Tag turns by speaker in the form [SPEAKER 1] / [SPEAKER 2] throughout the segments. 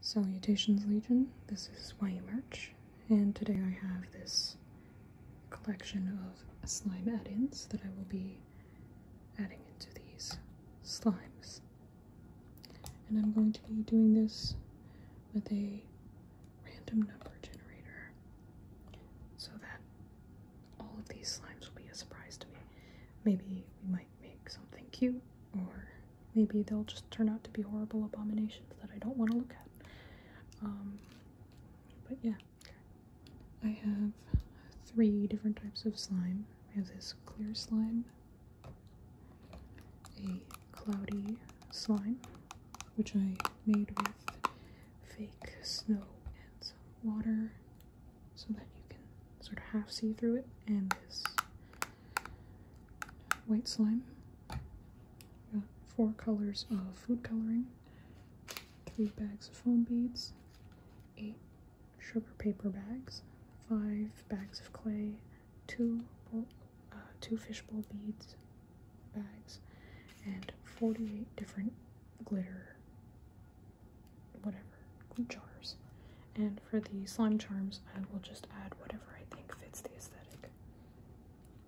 [SPEAKER 1] Salutations Legion, this is YE Merch, and today I have this collection of slime add-ins that I will be adding into these slimes. And I'm going to be doing this with a random number generator, so that all of these slimes will be a surprise to me. Maybe we might make something cute, or maybe they'll just turn out to be horrible abominations that I don't want to look at. Um, but yeah, I have three different types of slime. I have this clear slime, a cloudy slime, which I made with fake snow and some water so that you can sort of half see through it and this white slime. Got uh, four colors of food coloring, three bags of foam beads, eight sugar paper bags, five bags of clay, two uh, two fishbowl beads bags, and 48 different glitter whatever jars. And for the slime charms, I will just add whatever I think fits the aesthetic.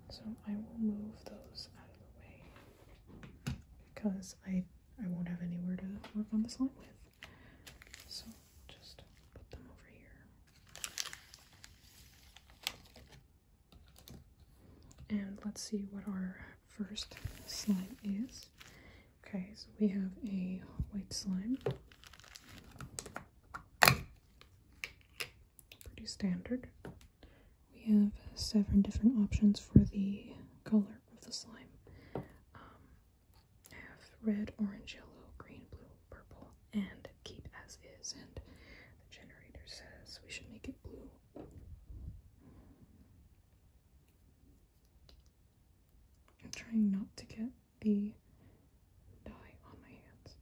[SPEAKER 1] So I will move those out of the way because I, I won't have anywhere to work on the slime with. So just put them over here. And let's see what our first slime is. Okay, so we have a white slime. Pretty standard. We have seven different options for the color of the slime. I um, have red, orange, yellow, green, blue, purple, and keep as is. And the generator says we should make it blue. I'm trying not to get the dye on my hands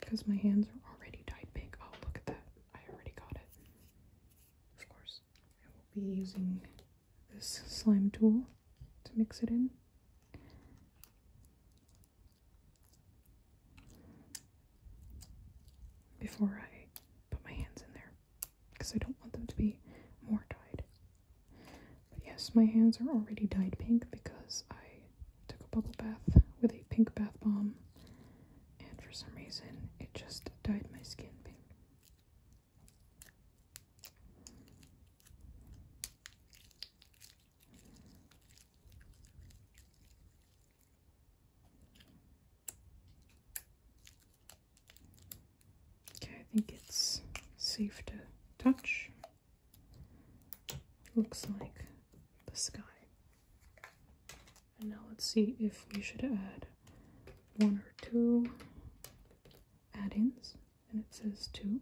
[SPEAKER 1] because my hands are already dyed pink. Oh, look at that. I already got it. Of course, I will be using this slime tool to mix it in. Before I put my hands in there, because I don't want them to be more dyed. But yes, my hands are already dyed pink because I took a bubble bath with a pink bath bomb, and for some reason it just dyed my skin pink. Okay, I think it's safe to touch. Looks like the sky. And now let's see if we should add one or two add-ins. And it says two.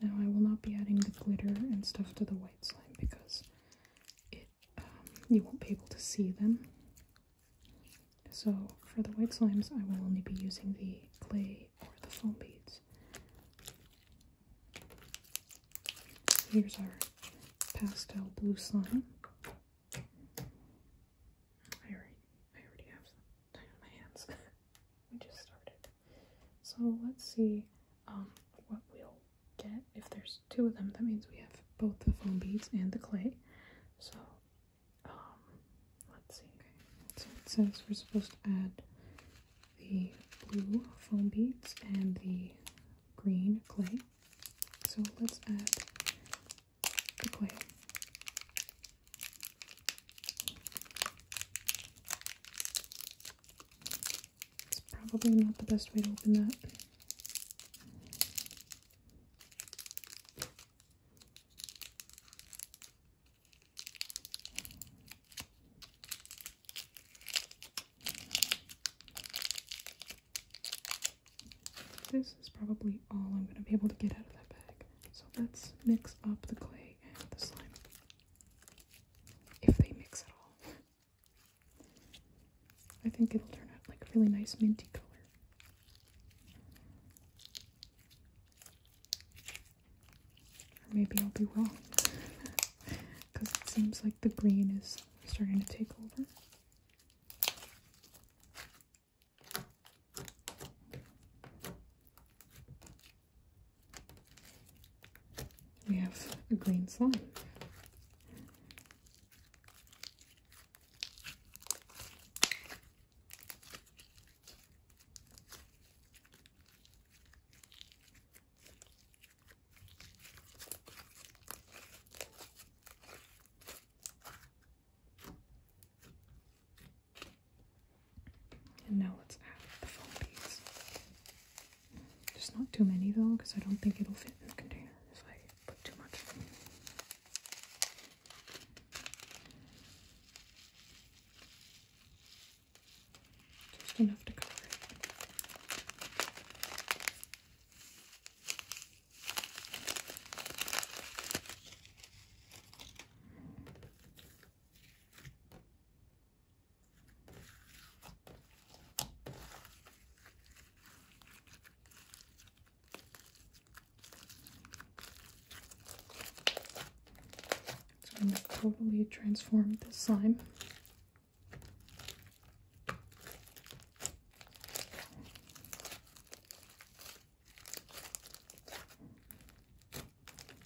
[SPEAKER 1] Now I will not be adding the glitter and stuff to the white slime because it um, you won't be able to see them so for the white slimes, I will only be using the clay or the foam beads. Here's our pastel blue slime. I already, I already have some on my hands. we just started. So let's see um, what we'll get if there's two of them, that means we have both the foam beads and the clay. So, um, let's see. So it says we're supposed to add the blue foam beads and the green clay. So let's add the clay. It's probably not the best way to open that. This is probably all I'm going to be able to get out of that bag. So let's mix up the clay and the slime. If they mix at all. I think it'll turn out like a really nice minty color. Or maybe I'll be wrong. Because it seems like the green is starting to take over. We have a green slime. And now let's add the foam piece. Just not too many though, because I don't think it'll fit in the container just enough to cover it. So I'm gonna totally transform this slime.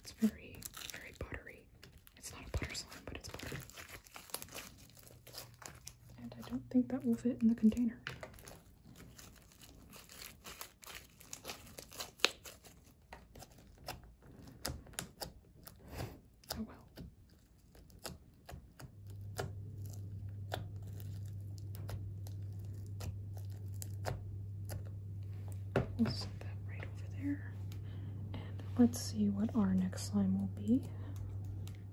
[SPEAKER 1] It's very, very buttery. It's not a butter slime, but it's buttery. And I don't think that will fit in the container. Oh well. We'll set that right over there. And let's see what our next slime will be.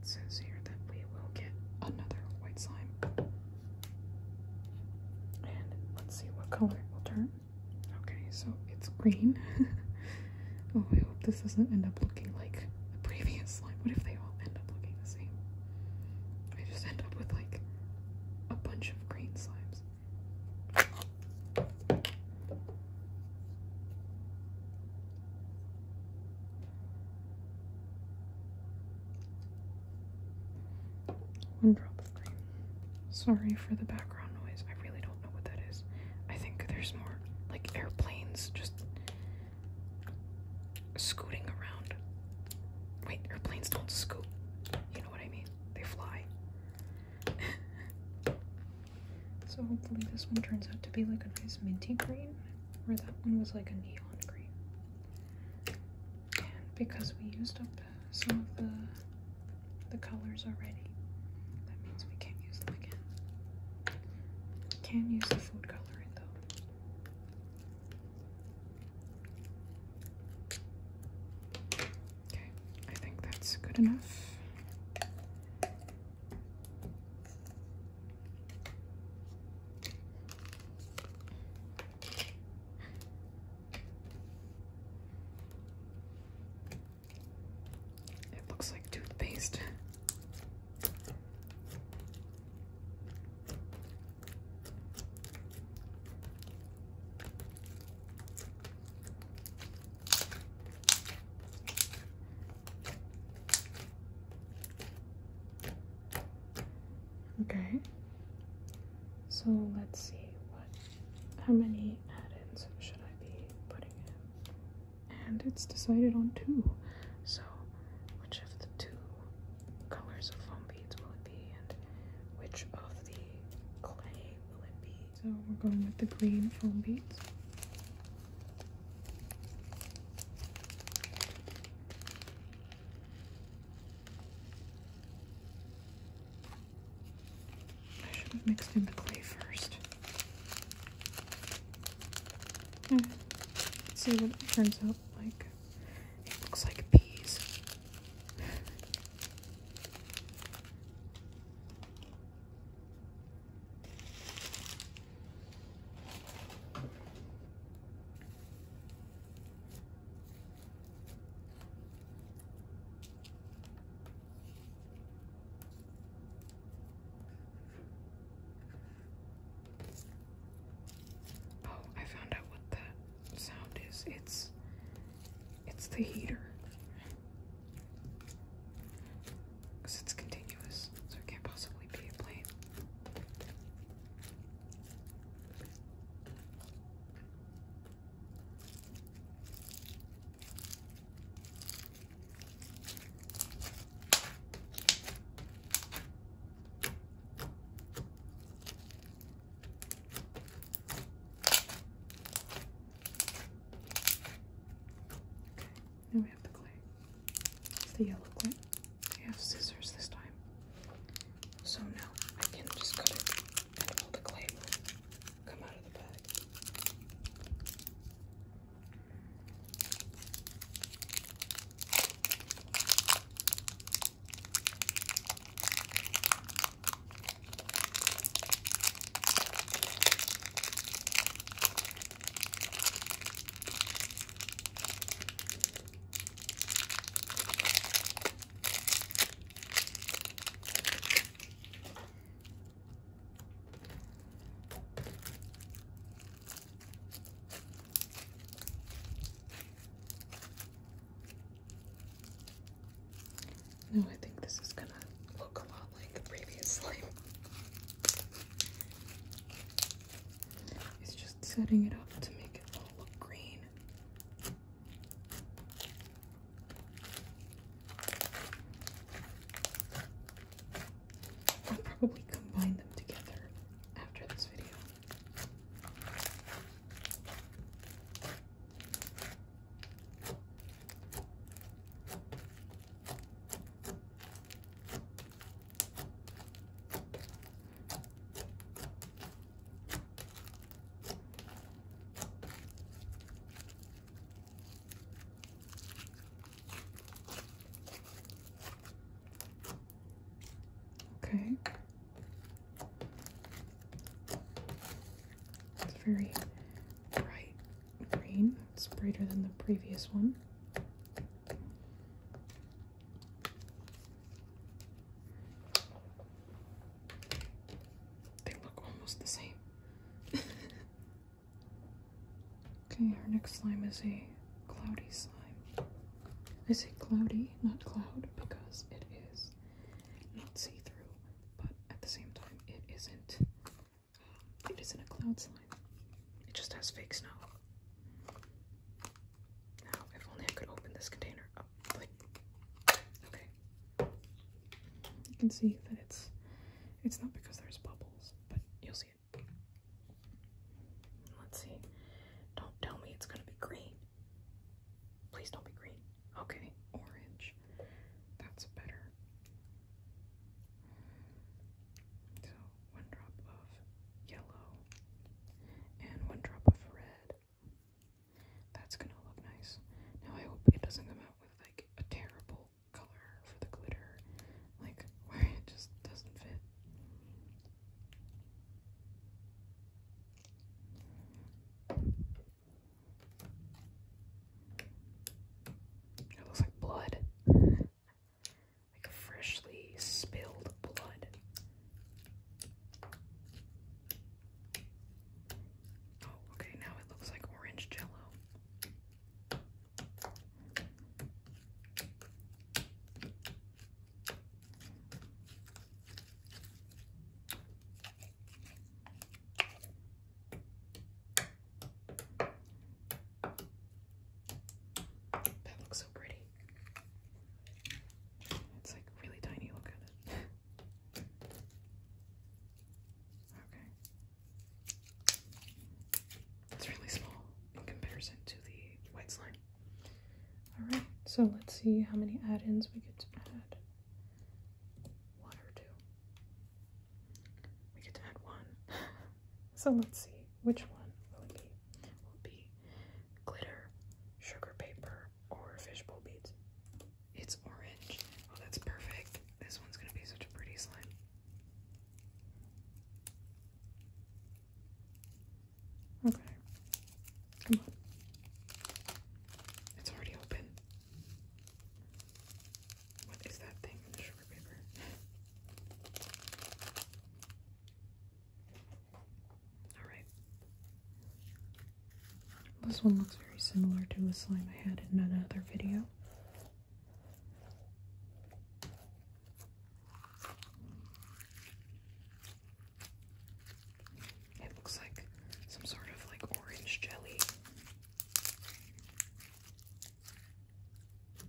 [SPEAKER 1] It says here that we will get another white slime. And let's see what color it will turn. Okay, so it's green. oh, I hope this doesn't end up looking like the previous slime. What if they all end up looking the same? I just end up with like a bunch of green slimes. One drop of green. Sorry for the background noise. I really don't know what that is. I think there's more like airplanes just scooting around. Wait, airplanes don't scoot. You know what I mean? They fly. so hopefully this one turns out to be like a nice minty green. Or that one was like a neon green. And because we used up some of the the colors already, that means we can't use them again. We can use the food coloring though. Okay, I think that's good enough. It looks like toothpaste. Okay. So let's see what how many add-ins should I be putting in? And it's decided on two. So which of the two colors of foam beads will it be and which of the clay will it be? So we're going with the green foam beads. I should have mixed in the clay first. Hmm. Let's see what it turns out like. It looks like peas. Oh, I found out what that sound is. It's it's the heater because it's continuous, so it can't possibly be a plane we have the clay. It's the yellow clay. We have scissors this time. So now I can just cut it and all the clay come out of the bag. No, I think this is gonna look a lot like the previous slime. just setting it up to make it all look green. I'll probably combine them together after this video. Okay. It's very bright green. It's brighter than the previous one. They look almost the same. okay, our next slime is a cloudy slime. Is say cloudy, not cloud, because it is not see through, but at the same time, it isn't it isn't a cloud slime. It just has fake snow. Now, if only I could open this container up. okay. You can see that it's it's not because there's bubbles, but you'll see it. Let's see. Don't tell me it's gonna be green. Please don't be green. Okay, orange. That's better. So one drop of yellow, and one drop of red. That's gonna look nice. Now I hope it doesn't come out with like a terrible color for the glitter, like where it just doesn't fit. It looks like blood. like freshly spilled blood. Oh, okay, now it looks like orange jello. That looks so pretty. It's like really tiny, look at it. okay. It's really small in comparison to the white slime. Alright, so let's see how many add-ins we get to add. One or two. We get to add one. so let's see, which one will it be? Will be glitter, sugar paper, or fishbowl beads? It's orange. Oh, that's perfect. This one's gonna be such a pretty slime. Okay. Come on. It's already open. What is that thing in the sugar paper? Alright. This one looks very similar to a slime I had in another video. It looks like some sort of like orange jelly.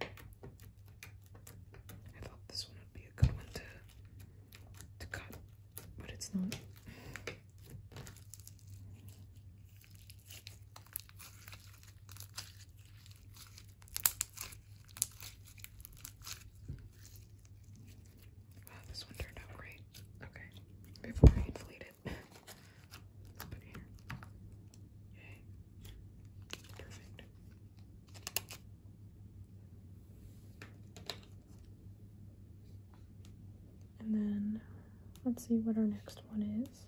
[SPEAKER 1] I thought this one would be a good one to to cut, but it's not. Wow, this one turned out great. Okay, before I inflate it. And then let's see what our next one is.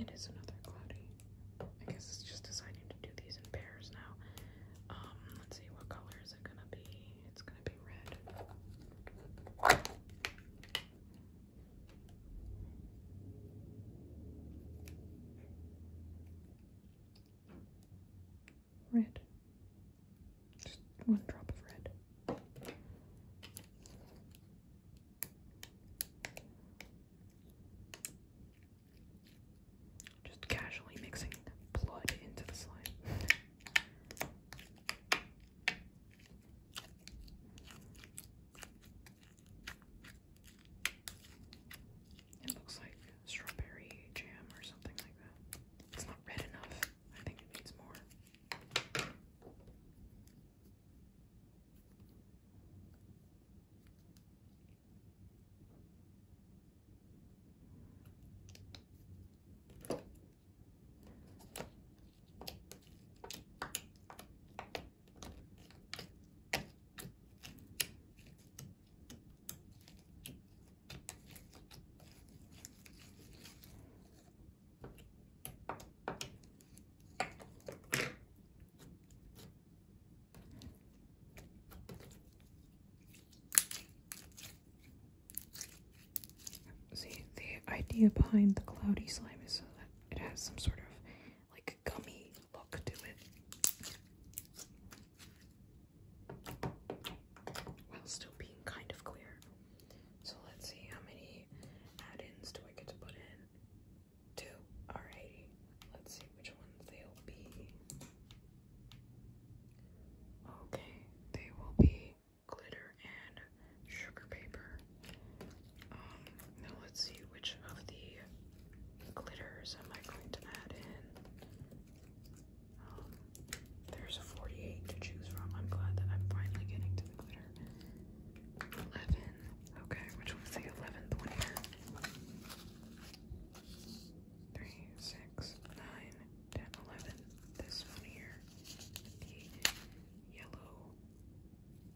[SPEAKER 1] It is another cloudy. I guess it's just deciding to do these in pairs now. Um, let's see what color is it gonna be. It's gonna be red. Red. Just one drop of red. Just casually mixing blood into the slide. It looks like strawberry jam or something like that. It's not red enough. I think it needs more. See, the idea behind the cloudy slime is so that it has some sort of like gummy look to it while still being kind of clear. So let's see how many add-ins do I get to put in. Two. Alrighty. Let's see which ones they'll be. Okay, they will be glitter and sugar paper. Um, now let's see which of the glitters am I going to add in. Um, there's a 48 to choose from. I'm glad that I'm finally getting to the glitter. 11. Okay, which one's the 11th one here? 10, 11. This one here. The yellow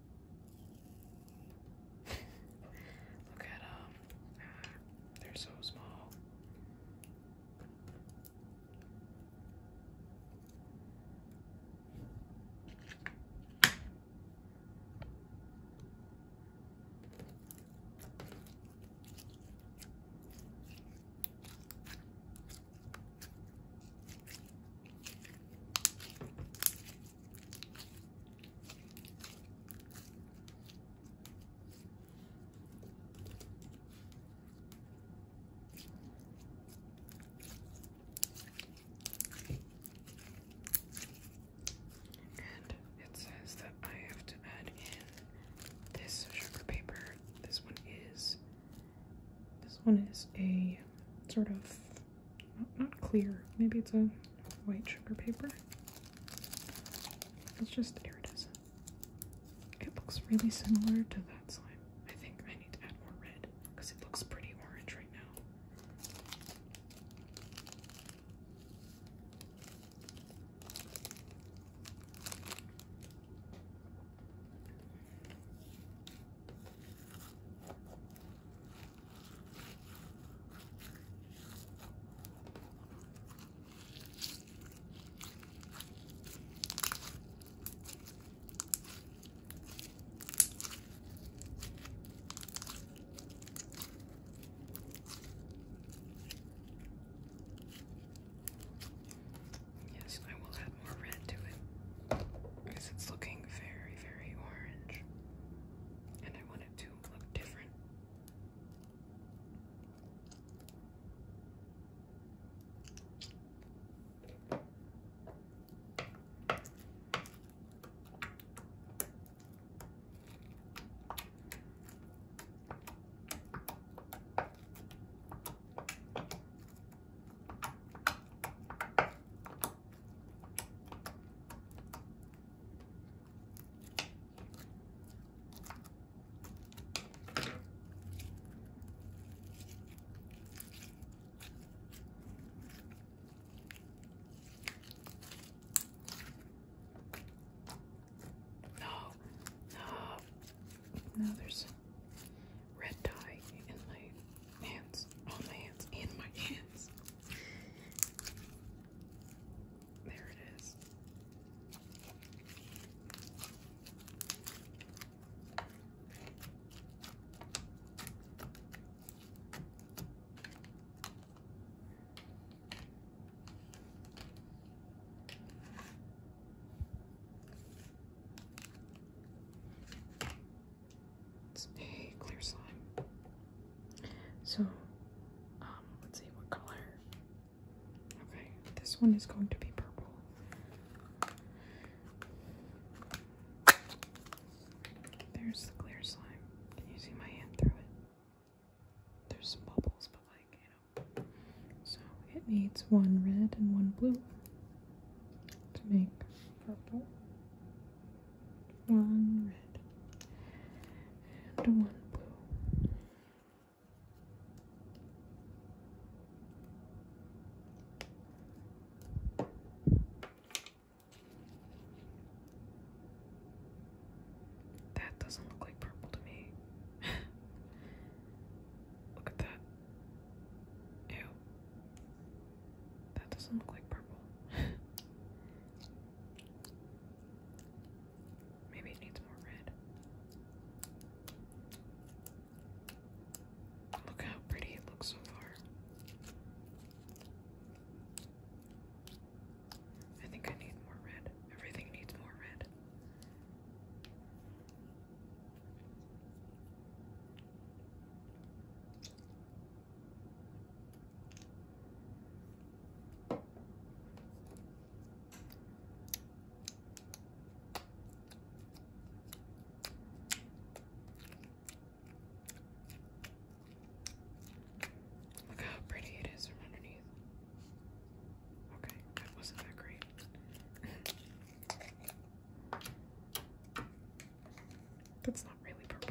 [SPEAKER 1] Look at them. Um, ah, they're so small. And it says that I have to add in this sugar paper. This one is this one is a sort of not clear. Maybe it's a white sugar paper. It's just here it is. It looks really similar to that slime. I think I need to add more red because it looks pretty orange right now. Yes, I will add more red to it because it's looking very, very orange, and I want it to look different. No, no, no, there's red dye in my hands on my hands and my hands. There it is. It's a clear slime. So, um, let's see what color. Okay, this one is going to be purple. There's the clear slime. Can you see my hand through it? There's some bubbles, but like, you know. So it needs one red and one blue to make purple one red, and one blue. That doesn't look like purple to me. look at that. Ew. That doesn't look like purple. Maybe it needs more red. Look how pretty it looks so far. I think I need more red. Everything needs more red. Look how pretty it is from underneath. Okay, that wasn't that great. That's not really purple.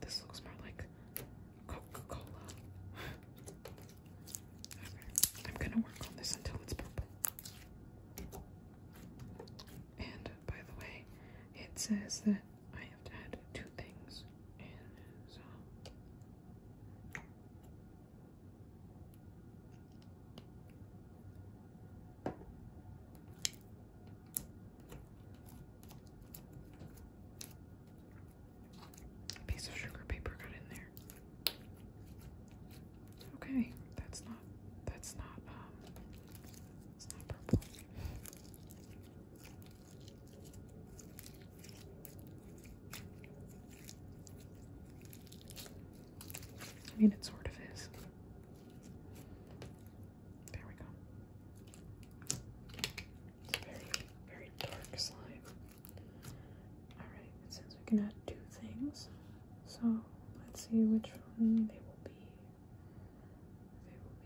[SPEAKER 1] This looks more like Coca-Cola. I'm gonna work on this until it's purple. And by the way, it says that I have to add two things, and so a piece of sugar paper got in there. Okay, that's not that's not um, it's not purple. I mean it sort of is. There we go. It's very, very dark slime. Alright, it says we can add two things. So let's see which one they will be. They will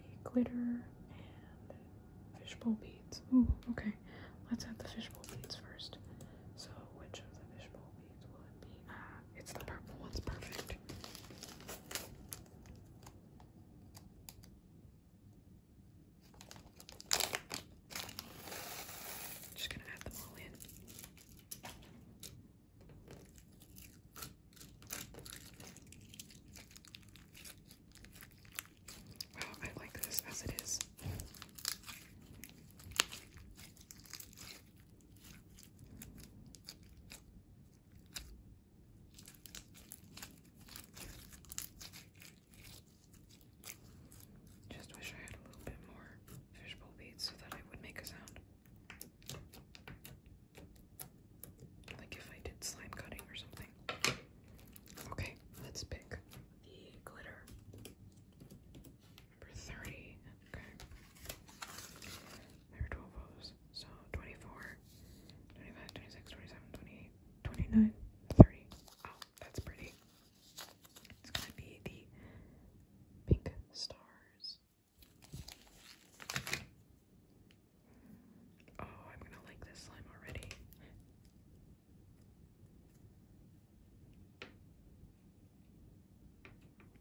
[SPEAKER 1] be glitter and fishbowl beads. Ooh, okay. Let's add the fishbowl beads first. So which of the fishbowl beads will it be? Ah, it's the purple one's perfect. Just gonna add them all in. Wow, I like this as it is. Just wish I had a little bit more fishbowl beads so that I would make a sound. Like if I did slime cutting or something. Okay, let's pick the glitter. Number 30. Okay. There were 12 O's. So 24, 25, 26, 27, 28, 29, 30. Oh, that's pretty. It's gonna be the pink stars. Oh, I'm gonna like this slime already.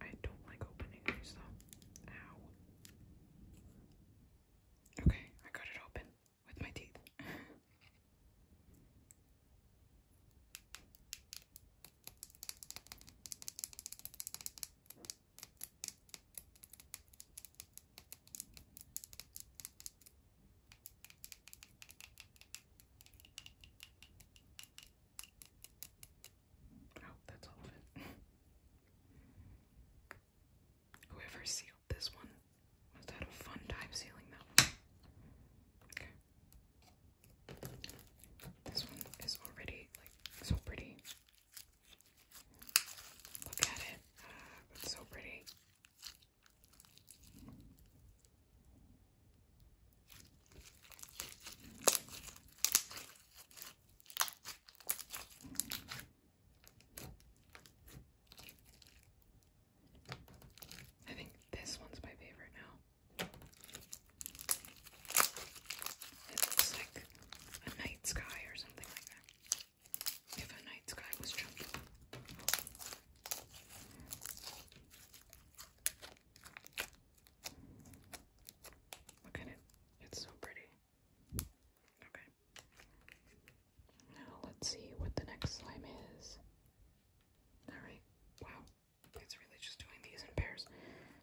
[SPEAKER 1] I don't like opening these though. Ow. Okay, I got it open with my teeth. Oh, that's all Whoever sealed this one must had a fun time sealing that Okay. This one is already like so pretty. Look at it. Ah, so pretty. I think this one's my favorite now. It looks like a night sky or something like that. If a night sky was chunky. Look at it. It's so pretty. Okay. Now let's see what the next slime is. Alright, wow. It's really just doing these in pairs.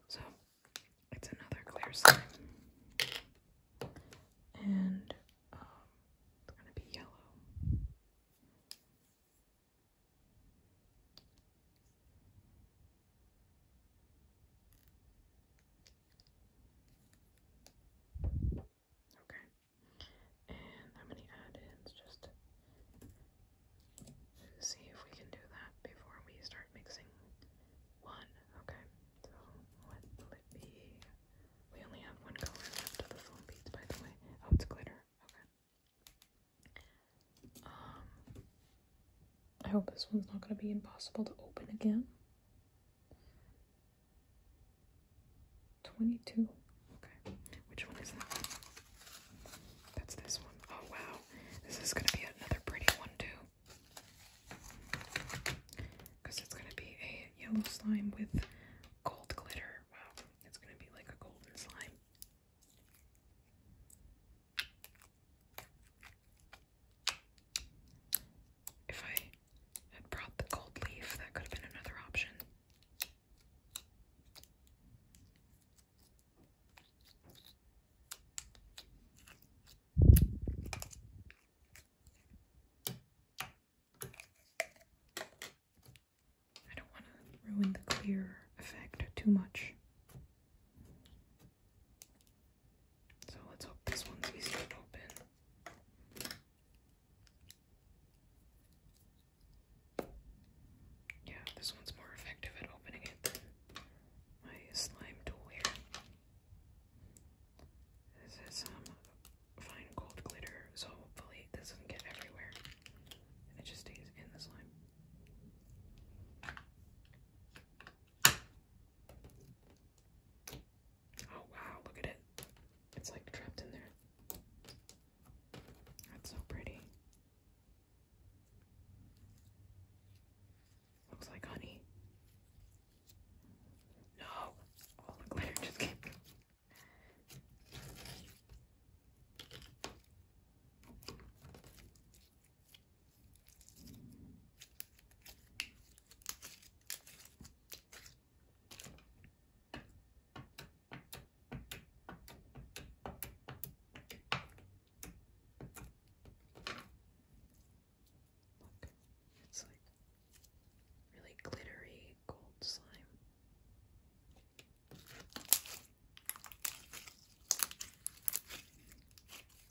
[SPEAKER 1] So, it's another clear slime. And, um, it's gonna be yellow. Okay. And how many add-ins? Just see if we can do that before we start mixing one. Okay. So what will it be? We only have one color left of the foam beads, by the way. Oh, it's glitter. Okay. Um, I hope this one's not going to be impossible to open again. 22. Okay, which one is that? That's this one. Oh wow, this is going to be another pretty one too. Because it's going to be a yellow slime with gold glitter. Wow, it's going to be like a golden slime. If I had brought the gold leaf, that could have been another option. I don't want to ruin the clear effect too much. So let's hope this one's easy to open. Yeah, this one's more effective at opening it my slime tool here. This is some um, fine gold glitter, so hopefully this doesn't get everywhere and it just stays in the slime. Oh wow, look at it. It's like trapped in there. That's so pretty. Looks like honey. No! All the glitter just came it's like really glittery gold slime.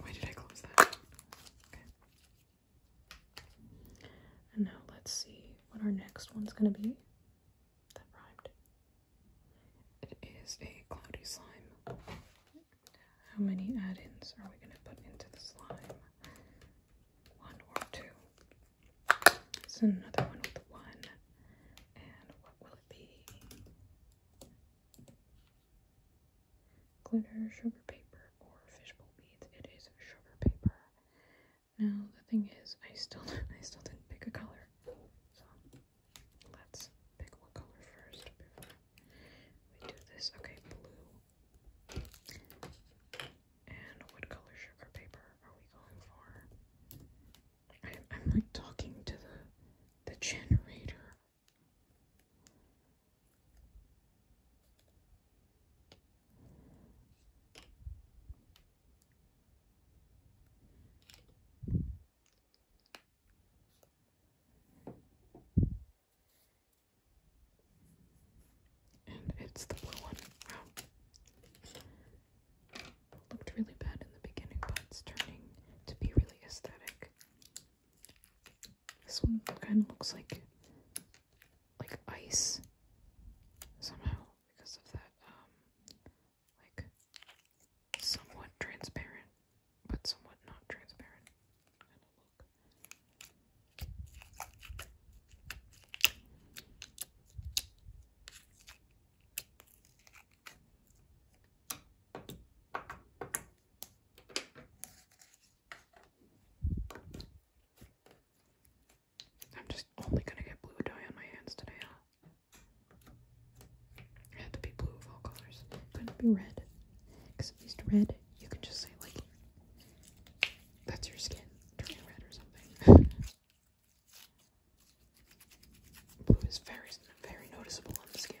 [SPEAKER 1] Why did I close that? Okay. And now let's see what our next one's gonna be. That rhymed. It is a cloudy slime. How many add-ins are we gonna put into the slime? One or two. It's another one with one. And what will it be? glitter, sugar paper, or fishbowl beads. It is sugar paper. Now the thing is, I still I still didn't pick a color, so let's pick what color first before we do this. Okay, blue. And what color sugar paper are we going for? I, I'm like talking to the the generator and it's the blue one. Wow. Looked really bad in the beginning, but it's turning to be really aesthetic. This one kind of looks like like ice somehow because of that um like somewhat transparent but somewhat not transparent kind of look. I'm just only gonna get blue dye on my hands today, huh? It had to be blue of all colors. Couldn't be red. Because at least red, you can just say, like, that's your skin turning red or something. blue is very, very noticeable on the skin.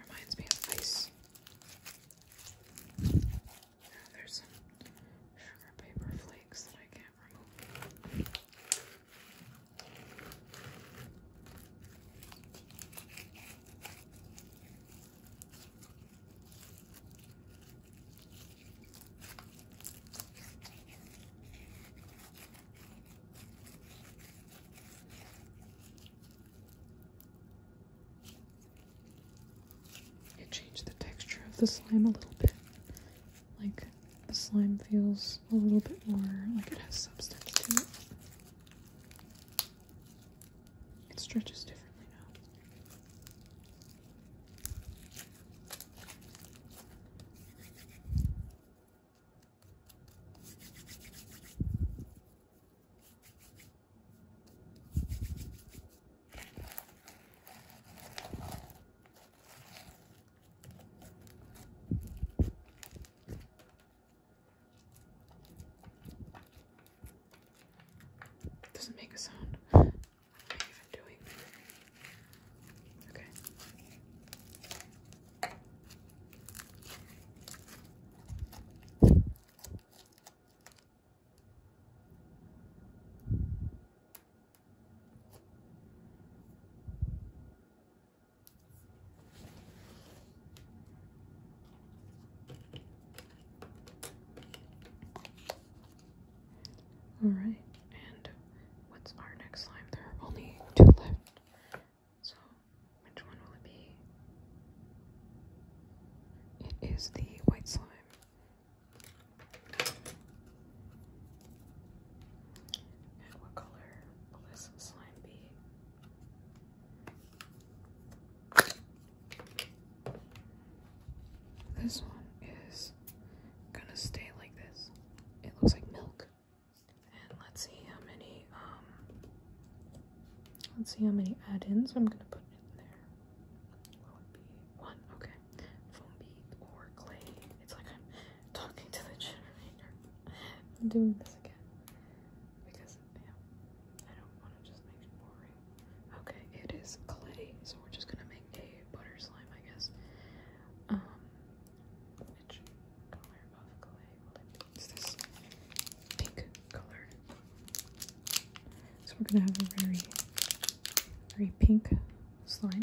[SPEAKER 1] reminds me of ice. Now there's some sugar paper flakes that I can't remove. It changed the texture of the slime a little bit. Like the slime feels a little bit more like it has substance to it. It stretches differently now. Doesn't make a sound. What am I even doing? Okay. Alright, and what's our next slime? There are only two left. So, which one will it be? It is the white slime. And what color will this slime be? This one is gonna stay like this. It looks like milk. And let's see how many, um, let's see how many add-ins I'm gonna put in there. Will it be one? Okay. Foam bead or clay. It's like I'm talking to the generator. I'm doing this again. Okay, it is clay, so we're just gonna make a butter slime, I guess. Um, which color of clay It's this pink color. So we're gonna have a very, very pink slime.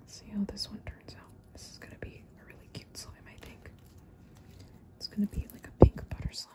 [SPEAKER 1] Let's see how this one turns out. This is going to be a really cute slime, I think. It's going to be like a pink butter slime.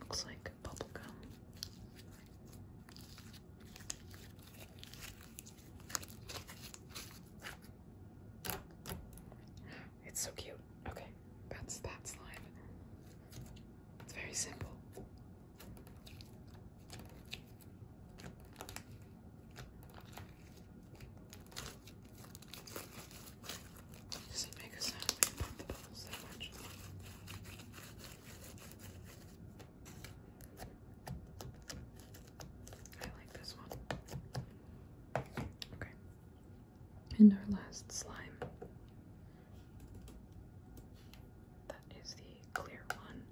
[SPEAKER 1] Looks like bubble gum. It's so cute. Okay, that's that slime. It's very simple. Does it make a sound when you pop the bubbles that much? I like this one. Okay. And our last slime. That is the clear one.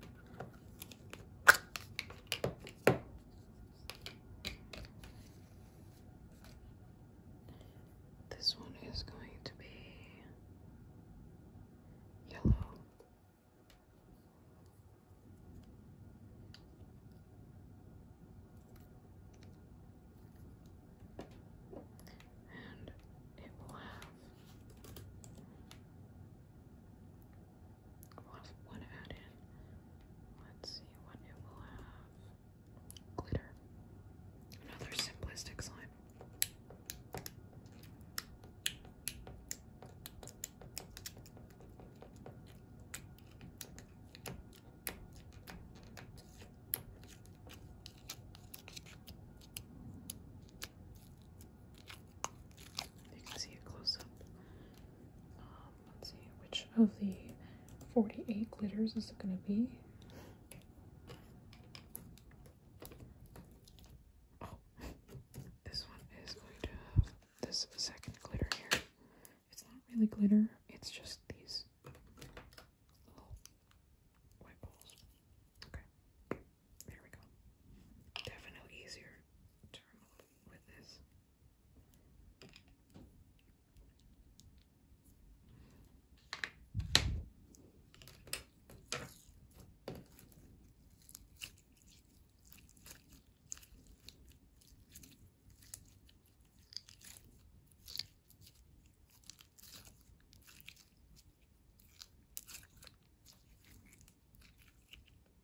[SPEAKER 1] This one is going to be yellow. And it will have we'll have in. Let's see what it will have. Glitter. Another simplistic slime. You can see it close up. Um, Let's see, which of the 48 glitters is it going to be? Oh, this one is going to this second glitter here. It's not really glitter, it's just these little white balls. Okay, there we go. Definitely easier to remove with this.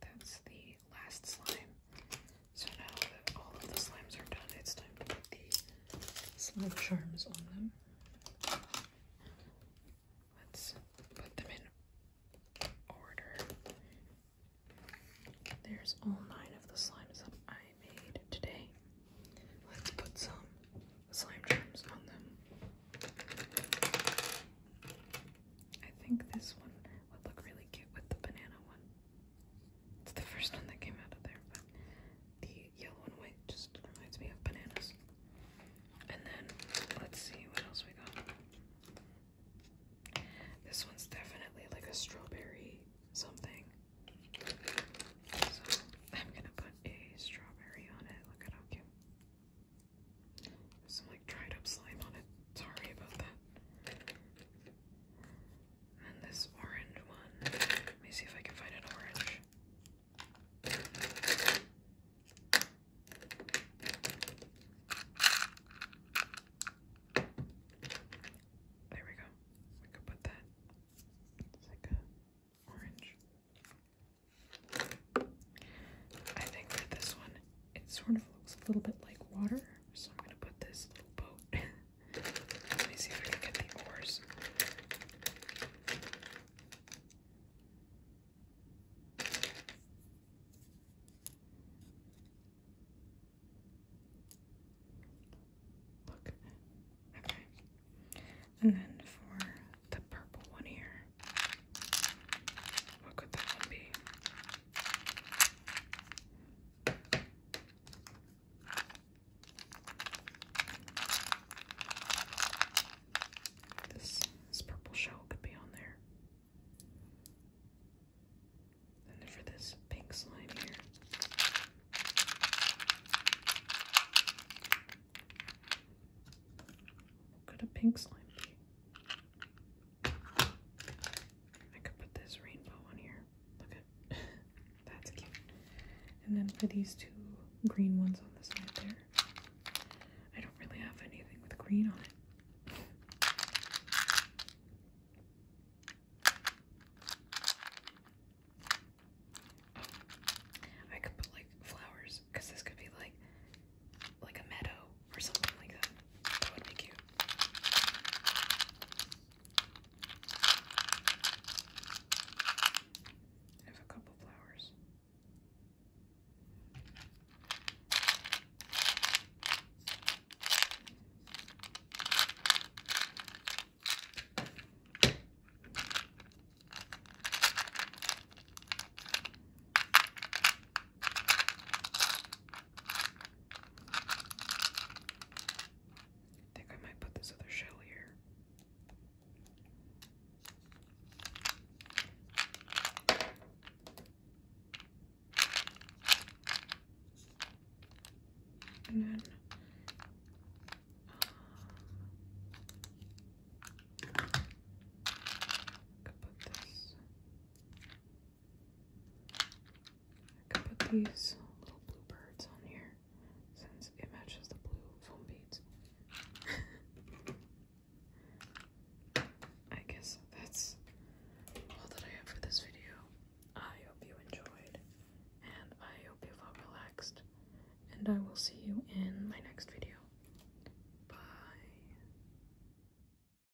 [SPEAKER 1] That's the last slime. So now that all of the slimes are done, it's time to put the slime charms on them. Let's put them in order. There's all nine of the slimes that I made today. Let's put some slime charms on them. I think this one would look really cute with the banana one. It's the first one that came out of there, but the yellow and white just reminds me of bananas. And then let's see what else we got. This one's definitely like a strawberry something. So I'm gonna put a strawberry on it. Look at how cute dried up slime on it. Sorry about that. And this orange one. Let me see if I can find an orange. There we go. We could put that. It's like a orange. I think for this one, it sort of looks a little bit like water. So I'm gonna put this little boat. Let me see if I can get the oars. Look. Okay. And then for the purple one here, what could that be? This, this purple shell could be on there. And for this pink slime here. What could a pink slime be? I could put this rainbow on here. Look at that's cute. And then for these two green ones on the side there, I don't really have anything with green on it. Oh, I could put like flowers because this could be like like a meadow or something like that. I have a couple flowers. I think I might put this other shell here. And then, um, put this I can put these little blue birds on here since it matches the blue foam beads. I guess that's all that I have for this video. I hope you enjoyed, and I hope you felt relaxed, and I will see you in my next video. Bye.